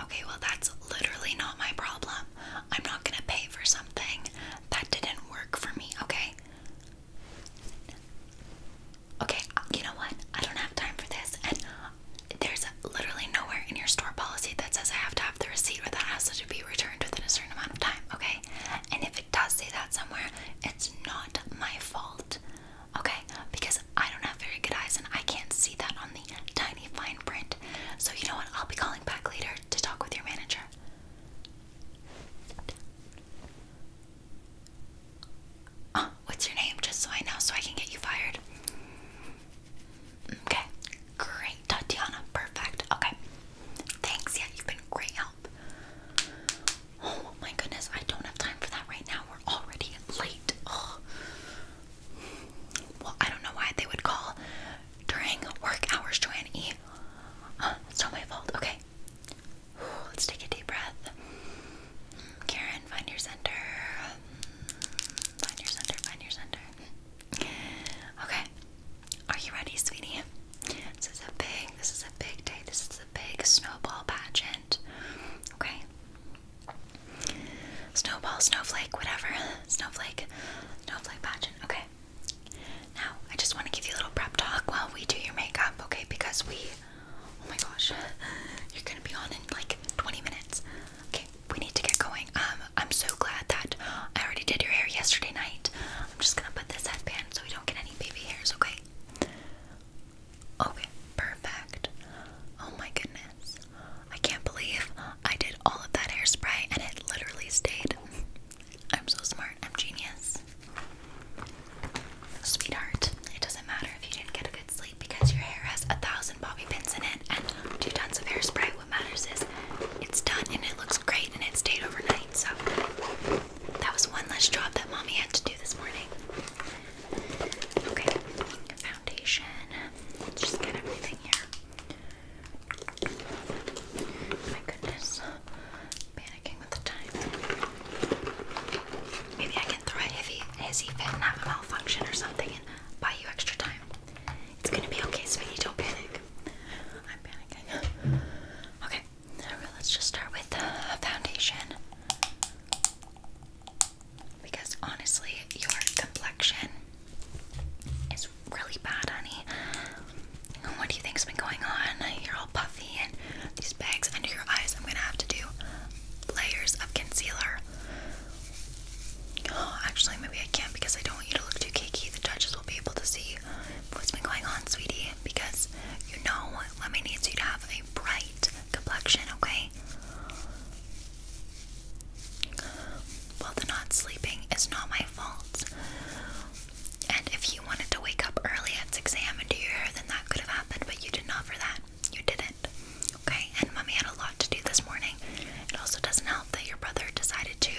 Okay, well, that's literally not my problem. I'm not gonna pay for something that didn't work for me, okay? Okay, uh, you know what? I don't have time for this, and there's literally nowhere in your store policy that says I have to have the receipt or that has to be returned within a certain amount of time, okay? And if it does say that somewhere, it's not my fault. Okay, because I don't have very good eyes and I can't see that on the tiny fine print. So, you know what? I'll be calling back later to talk with your manager. Oh, what's your name? Just so I know, so I can get you fired. Okay, great, Tatiana. Perfect. Okay, thanks. Yeah, you've been great help. Oh my goodness, I don't have time for that right now we're already late. Well, I don't know why they would call during work hours, Joanne it's not my fault. Okay. Let's take a deep breath. Mm, Karen, find your center. Mm, find your center, find your center. Okay. Are you ready, sweetie? This is a big, this is a big day. This is a big snowball pageant. Okay. Snowball, snowflake, whatever. Snowflake, snowflake pageant. Okay. Now, I just want to give you a little prep talk while we do your makeup, okay? Because we, oh my gosh, you're gonna be on in like 20 minutes. Okay, we need to get going. Um, I'm so glad that I already did your hair yesterday night. I'm just gonna put this headband so we don't get any baby hairs, okay? Okay, perfect. Oh my goodness. I can't believe I did all of that hairspray and it literally stayed. I'm so smart. I'm genius. Sweetheart, it doesn't matter if you didn't get a good sleep because your hair has a thousand bobby pins in it and two tons of hairspray. What matters is it's done and it looks great and it stayed overnight. So that was one less job that mommy had to do this morning. Okay, foundation. Let's just get everything here. My goodness, panicking with the time. Maybe I can throw a heavy, hissy fit and have a malfunction or something and buy you extra time. It's gonna be okay, sweetie. Don't panic. I'm panicking. Okay, let's just start with the foundation. Because honestly, your complexion is really bad, honey. What do you think's been going on? You're all puffy and these bags under your eyes. I'm gonna have to do layers of concealer. Oh, actually, maybe I can't because I don't want you to look too cakey. The judges will be able to see what's been going on, sweetie, because you know Lemmy needs you to have a bright light complexion, okay? Well, the not sleeping is not my fault. And if you wanted to wake up early at 6 a.m. and do your hair, then that could have happened, but you did not for that. You didn't. Okay? And mommy had a lot to do this morning. It also doesn't help that your brother decided to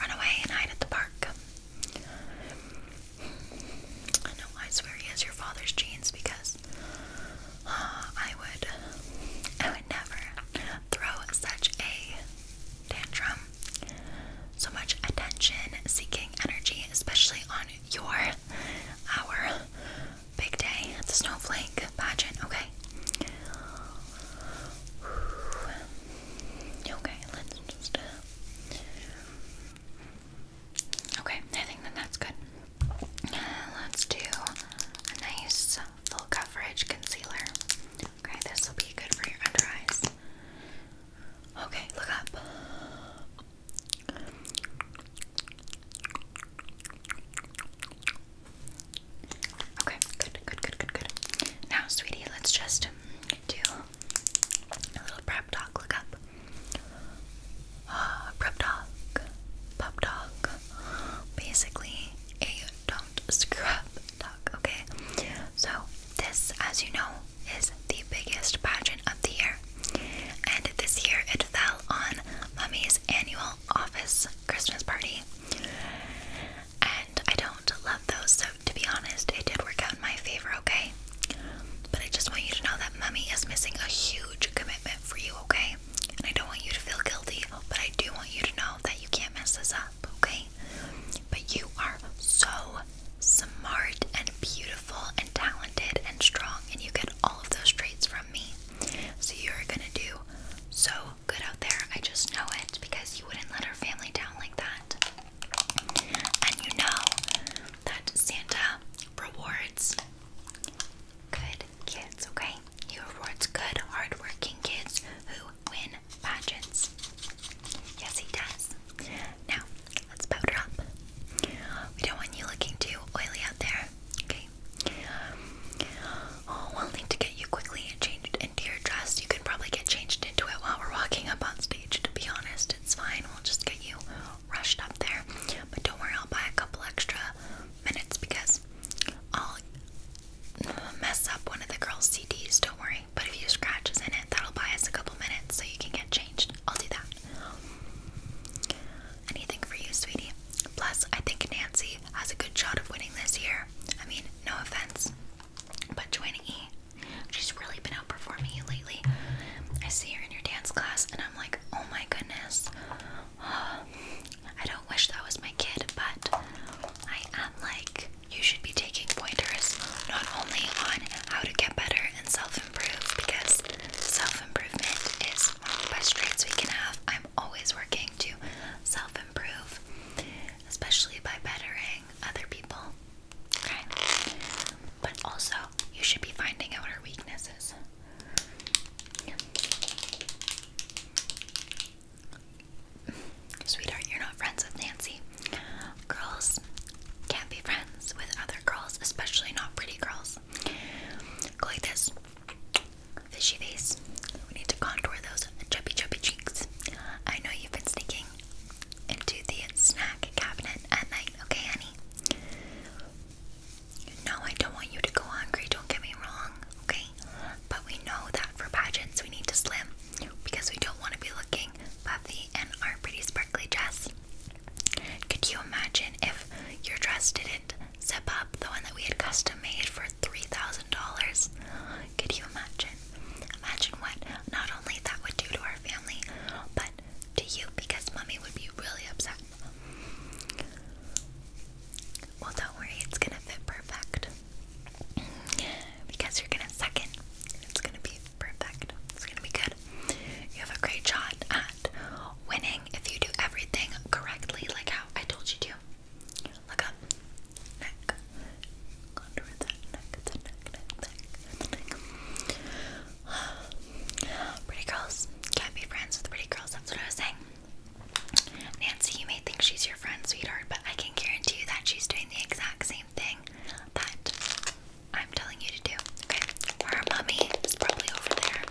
run away and hide at the park. I know I swear he has your father's genes because uh, I would I would never throw such a tantrum. So much attention seeking energy, especially on your our big day at the snowflake pageant, okay? Okay, let's just uh, Okay, I think that that's good. Let's do a nice full coverage concealer. Okay, this will be good for your under eyes. Okay, look up. Okay, good, good, good, good, good. Now, sweetie, let's just do a little prep talk. Look up. Uh, prep talk, pop talk, basically a don't screw up talk, okay? So, this, as you know, is the biggest pageant of the year, and this year it fell on Mummy's annual office Christmas party. And I don't love those, so to be honest, it did work out in my favor, okay? okay? But I just want you to know that mommy is missing a huge commitment for you, okay? And I don't want you to feel guilty, but I do want you to know that you can't mess this up, okay? But you are so smart and beautiful and talented and strong, and you get all of those traits from me. So you're gonna do so good out there. I just know it because you wouldn't let our family down like that. And you know that Santa rewards good kids, okay? He rewards good, hardworking kids who win pageants. Yes, he does. Now, let's powder up. We don't want you looking too oily out there, okay? Oh, we'll need to get you quickly changed into your dress. You can probably get changed into it while we're walking up on stage, to be honest. It's fine. We'll just get you rushed up there. But don't worry, I'll buy a couple extra minutes because I'll mess up one of the girls' CDs. Don't worry. But if you scratches in it, that'll buy us a couple minutes so you can get changed. I'll do that. Anything for you, sweetie. Plus, I think Nancy has a good shot of winning this year. I mean, no offense, but joining She's really been outperforming you lately. I see her in your dance class, and I'm like, oh my goodness. I don't wish that was my kid, but I am like, you should be taking pointers not only on how to get better and self improve, because self improvement is one of the best traits we can have. I'm always working to self improve, especially by bettering other people. Okay? But also, you should be finding out her weaknesses. Sweetheart, you're not friends with Nancy. Girls can't be friends with other girls, especially not pretty girls. Go like this fishy face. We need to contour those chubby, chubby cheeks. I know you've been sneaking into the snack cabinet at night, okay, honey? No, I don't want you to go hungry, don't get me wrong, okay? But we know that for pageants we need to slim because we don't want to be looking puffy in our pretty sparkly dress. Could you imagine if your dress didn't zip up, the one that we had custom made for $3,000? Could you imagine? Imagine what not only that would do to our family, but to you because mommy would be really upset. Well, don't worry, it's gonna fit perfect because you're gonna suck it. It's gonna be perfect. It's gonna be good. You have a great shot at winning if you do everything correctly, like how I told you to. Look up, neck, contour that neck, the neck, neck, neck, neck. pretty girls can't be friends with pretty girls. That's what I was saying. Nancy, you may think she's your friend, sweetheart, but I can guarantee you that she's doing the exact same thing that I'm telling you to do. Okay, her mummy is probably over there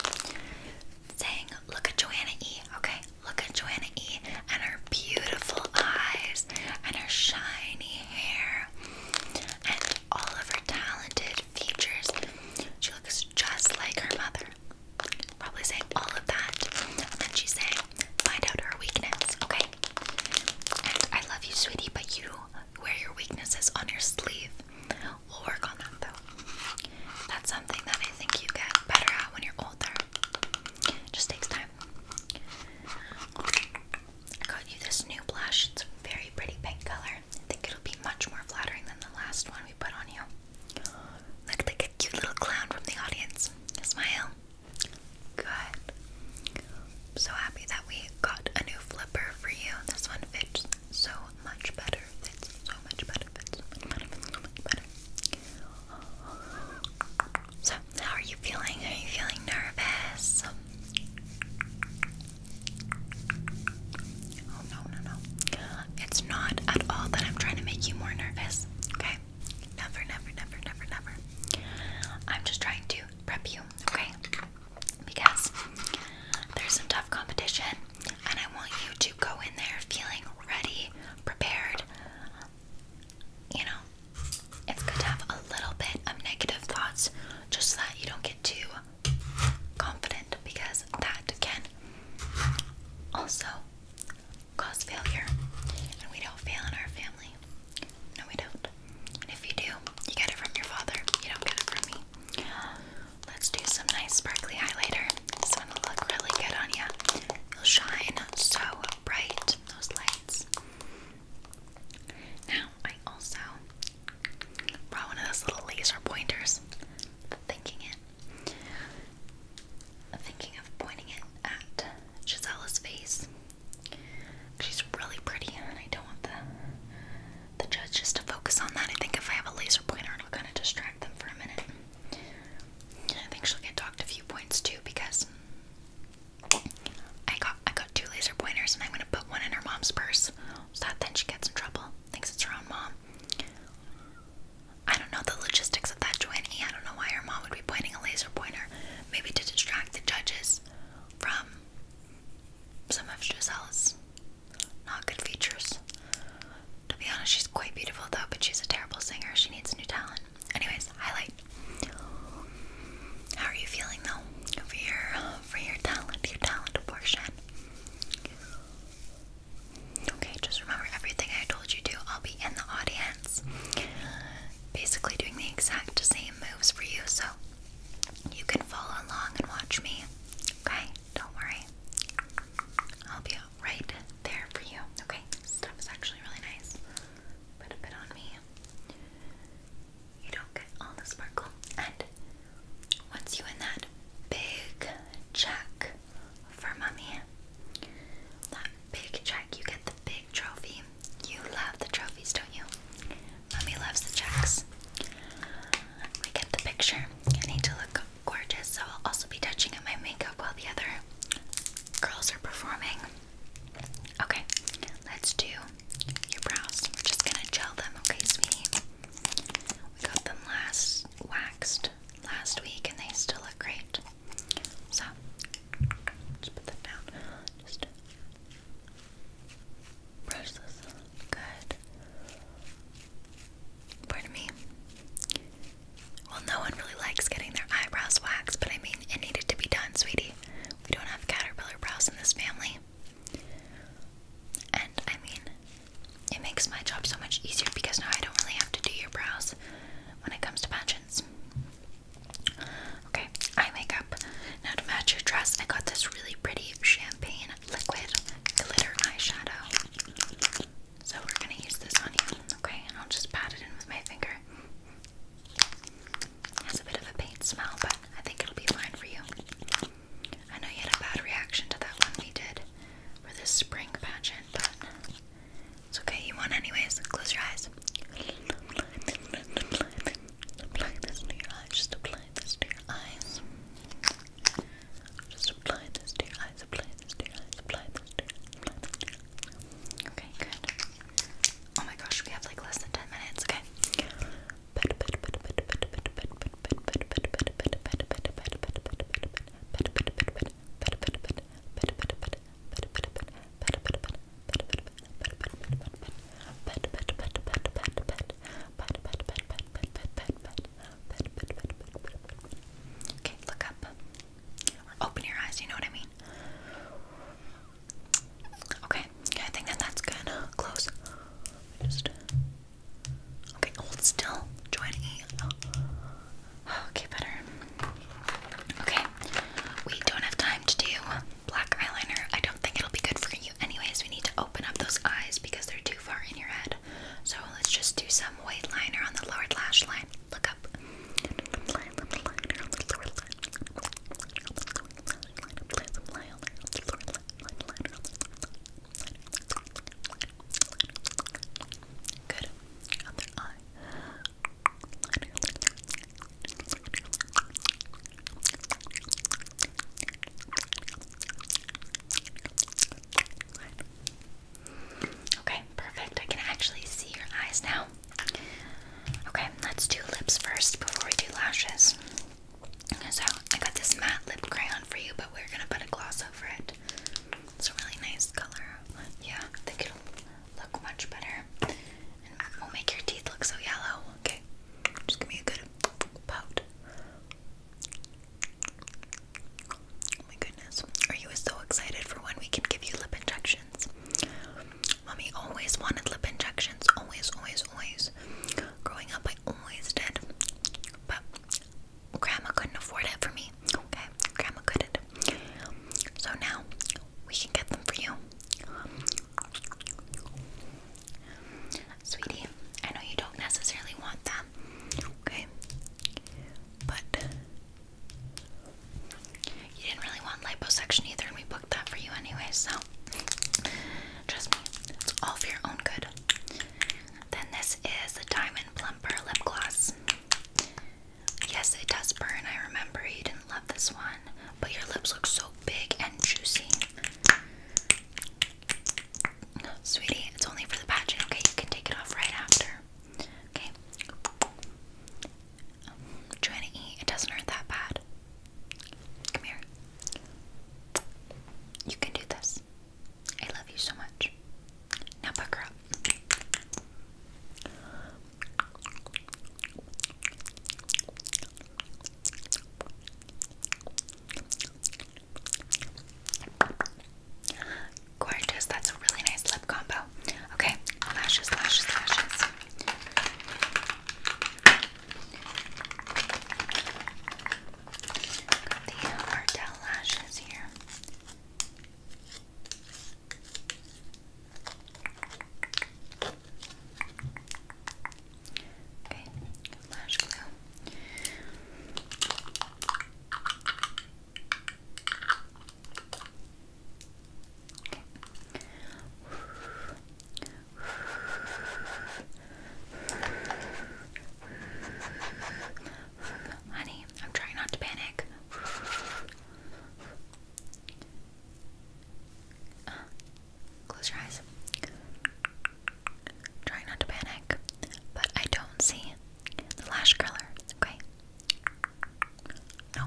saying, "Look at Joanna E." Okay, look at Joanna E. and her beautiful eyes and her shiny hair and all of her talented features. She looks just like her mother. Probably saying all of that. And she's saying, find out her weakness, okay? And I love you, sweetie, but you wear your weaknesses on your sleeve. We'll work on them though. That's something that I think you get better at when you're older. Just takes time. I got you this new blush. It's a very pretty pink color. I think it'll be much more flattering than the last one we put on you. Look like a cute little clown from the audience. Smile. Good. so happy that we got a new flipper for you. This one fits so much better. Fits so much better. Fits so much better. So, how are you feeling? Are you feeling nervous? Oh no, no, no. It's not at all that I'm trying to make you more nervous, okay? Never, never, never, never, never. I'm just trying to prep you, okay? Because there's some tough competition, and I want you to go in there feeling ready, prepared, you know, it's good to have a little bit of negative thoughts just so that you don't get too confident because that can also cause failure. And we don't fail in our family. No, we don't. And if you do, you get it from your father. You don't get it from me. Let's do some nice sparkly highlighter. This one will look really good on you. it will shine so bright, those lights. Now, I also brought one of those little laser pointers. Thinking it. Thinking of pointing it at Gisella's face. She's really pretty, and I don't want the the judges to focus on that. I think if I have a laser pointer, it'll kind of distract them for a minute. I think she'll get docked a few points too because I got I got two laser pointers and I'm gonna put one in her mom's purse so that then she gets in trouble. Thinks it's her own mom. I don't know the logistics of that joining. I don't know why her mom would be pointing a laser pointer. Maybe to distract the judges from some of Giselle's not good features. To be honest, she's quite beautiful though, but she's a terrible singer. She needs new talent. Anyways, highlight. How are you feeling though for your for your talent, your talent portion? Okay, just remember everything I told you to. I'll be in the audience, basically doing the exact same moves for you, so you can follow along and watch me. Okay, don't worry. I'll be right there for you. Okay, stuff is actually really nice. Put a bit on me you don't get all the sparkle. And once you win that big check for mommy, that big check, you get the big trophy. You love the trophies, don't you? Mommy loves the checks. We get the picture. I need to look gorgeous, so I'll also be touching up my makeup while the other girls are performing. Okay, let's do your brows. We're just gonna gel them, okay, sweetie? We got them last waxed last week, and they still look great. So, just put that down. Just brush this. Good. Pardon me. Well, no one really likes getting their eyebrows waxed, but I mean, it needed to be done, sweetie sorry. We don't have caterpillar brows in this family. And I mean, it makes my job so much easier because now I don't really have to do your brows when it comes to pageants. Okay, eye makeup. Now to match your dress, I got this really pretty champagne liquid glitter eyeshadow. So we're gonna use this on you, okay? And I'll just pat it in with my finger. Has a bit of a paint smell, but I think it'll be fine for you. I know you had a bad reaction to that one we did for this spring pageant, but it's okay. You won anyways. Close your eyes. Apply this to your eyes. Just apply this to your eyes. Just apply this to your eyes. Apply this to your eyes. Apply this to your eyes. Okay, good. Oh my gosh, we have like less than 10 minutes, okay? Okay, look up. open your eyes, you know what I mean? Okay, I think that that's good. Close. Just. Okay, hold still. Join Okay, better. Okay, we don't have time to do black eyeliner. I don't think it'll be good for you, anyways. We need to open up those eyes because they're too far in your head. So let's just do some white liner on the lower lash line. Look up. Good. Okay, perfect. I can actually see your eyes now. Okay, let's do lips first before we do lashes. So, I got this matte lip crayon for you, but we're gonna put a gloss over it. It's a really nice color. Yeah, I think it'll look much better. And will make your teeth look so yellow. Okay, just give me a good pout. Oh my goodness. Are you so excited for when we can give you lip injections? Mummy always wanted lip injections. Always, always, always. Growing up, I always did. But Grandma couldn't afford it for me. Okay, Grandma couldn't. So now we can get them for you. Sweetie, I know you don't necessarily want them. Okay? But you didn't really want liposuction either, and we booked that for you anyway, so trust me, it's all for your own good. Then this is the Diamond Plumper Lip Gloss. Yes, it does burn. I remember you didn't love this one, but your lips look so big and juicy. Sweetie, it's only for the pageant, okay? You can take it off right after. Okay. Um, to eat. It doesn't hurt that bad. Come here. You can do this. I love you so much. Now pucker up. Gorgeous, that's a really nice lip combo. Okay, lashes, lashes, lashes. Got the Ardell lashes here. Okay, lash glue. Honey, I'm trying not to panic. close your eyes. Try not to panic, but I don't see the lash curler. Okay, no.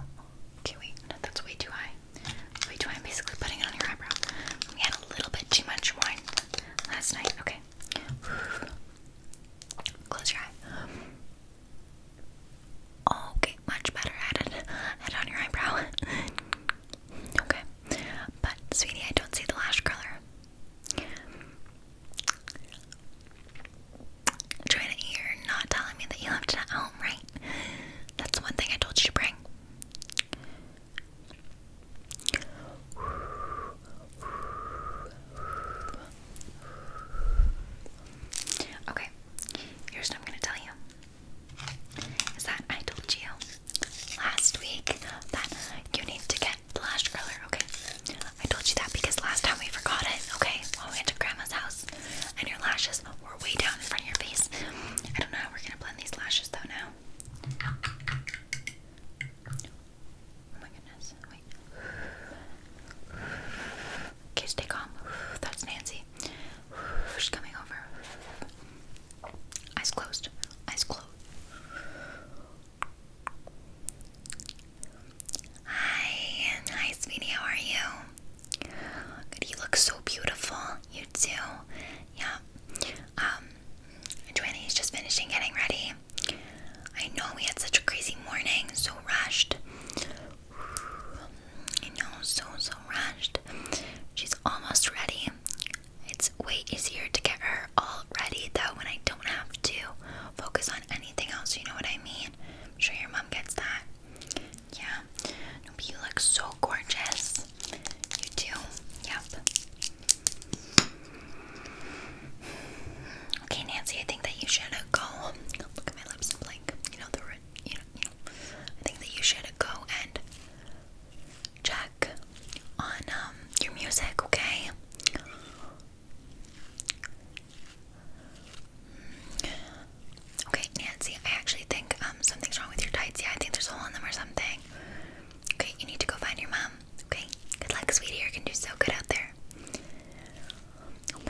Okay, wait. that's way too high. way too high. I'm basically putting it on your eyebrow. We had a little bit too much wine last night. Okay. Close your eye. Okay, much better. Add it, on your eyebrow. okay. But, sweetie, I don't see the lash color trying you're not telling me that you left it at home, right? That's one thing I told you to bring. Okay, here's what I'm gonna tell you. Is that I told you last week that you need to get blush curler, okay? I told you that because last time we forgot it, okay? When we went to grandma's house and your lashes were way down in front of your face. I don't know how we're gonna blend these lashes though now. Oh my goodness, wait. Okay, stay calm. That's Nancy. She's coming over. Eyes closed. Eyes closed. Hi, hi, sweetie. How are you? You look so beautiful. You do. Yeah. Um, just finishing getting ready. I know we had such a crazy morning, so rushed. I know, so so rushed. She's almost ready. It's way easier to get her all ready though when I don't have to focus on anything else. You know what I mean? i sure your mom gets that. Yeah. but you look so gorgeous. You do. Yep. Okay, Nancy, I think that you should go. Oh, look at my lips, like you know the you know, you know. I think that you should go and check on um, your music, okay? Okay, Nancy, I actually think um, something's wrong with your tights. Yeah, I think there's a hole in them or something. Okay, you need to go find your mom. Okay, good luck, sweetie. You're gonna do so good out there. Oh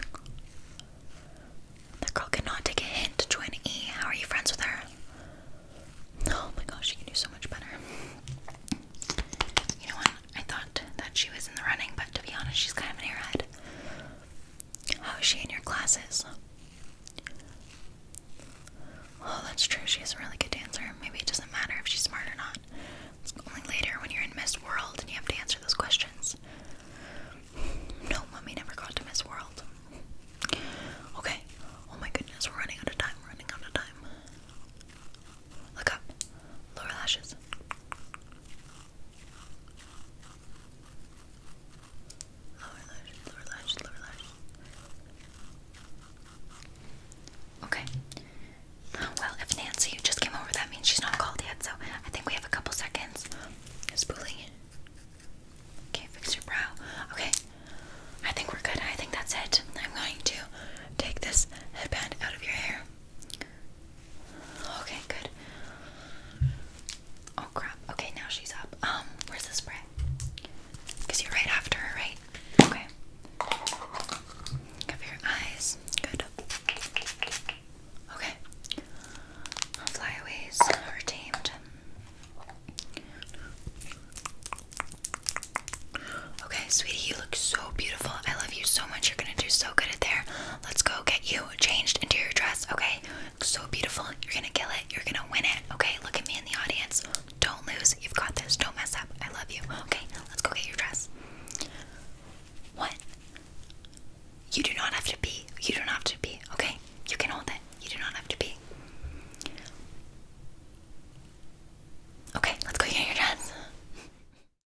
That girl cannot take a hint to join E. How are you friends with her? Oh my gosh, she can do so much better. You know what? I thought that she was in the running, but to be honest, she's kind of an airhead. How is she in your classes? Oh, that's true. She's a really good dancer. Maybe it doesn't matter if she's smart or not. It's only later when you're in Miss World and you have to answer those questions. No, Mommy never got to Miss World. Okay. Oh my goodness, we're running out of time. running out of time. Look up. Lower lashes. Lower lash, lower lash, lower lash. Okay. Oh, well, if Nancy just came over, that means she's not called yet, so I think we have a couple seconds. Spooling Okay, fix your brow. Okay, I think we're good. I think that's it. I'm going to take this headband out of your hair. Okay, good. Oh crap. Okay, now she's up. Um, where's the spray? Cause you're right after her, right? Okay. Cover your eyes. Good. Okay. Flyaways tamed. Okay, sweetie, look so beautiful. I love you so much. You're gonna do so good at there. Let's go get you changed into your dress, okay? Look so beautiful. You're gonna kill it. You're gonna win it, okay? Look at me in the audience. Don't lose. You've got this. Don't mess up. I love you. Okay, let's go get your dress. What? You do not have to be. You do not have to be. okay? You can hold it. You do not have to be. Okay, let's go get your dress.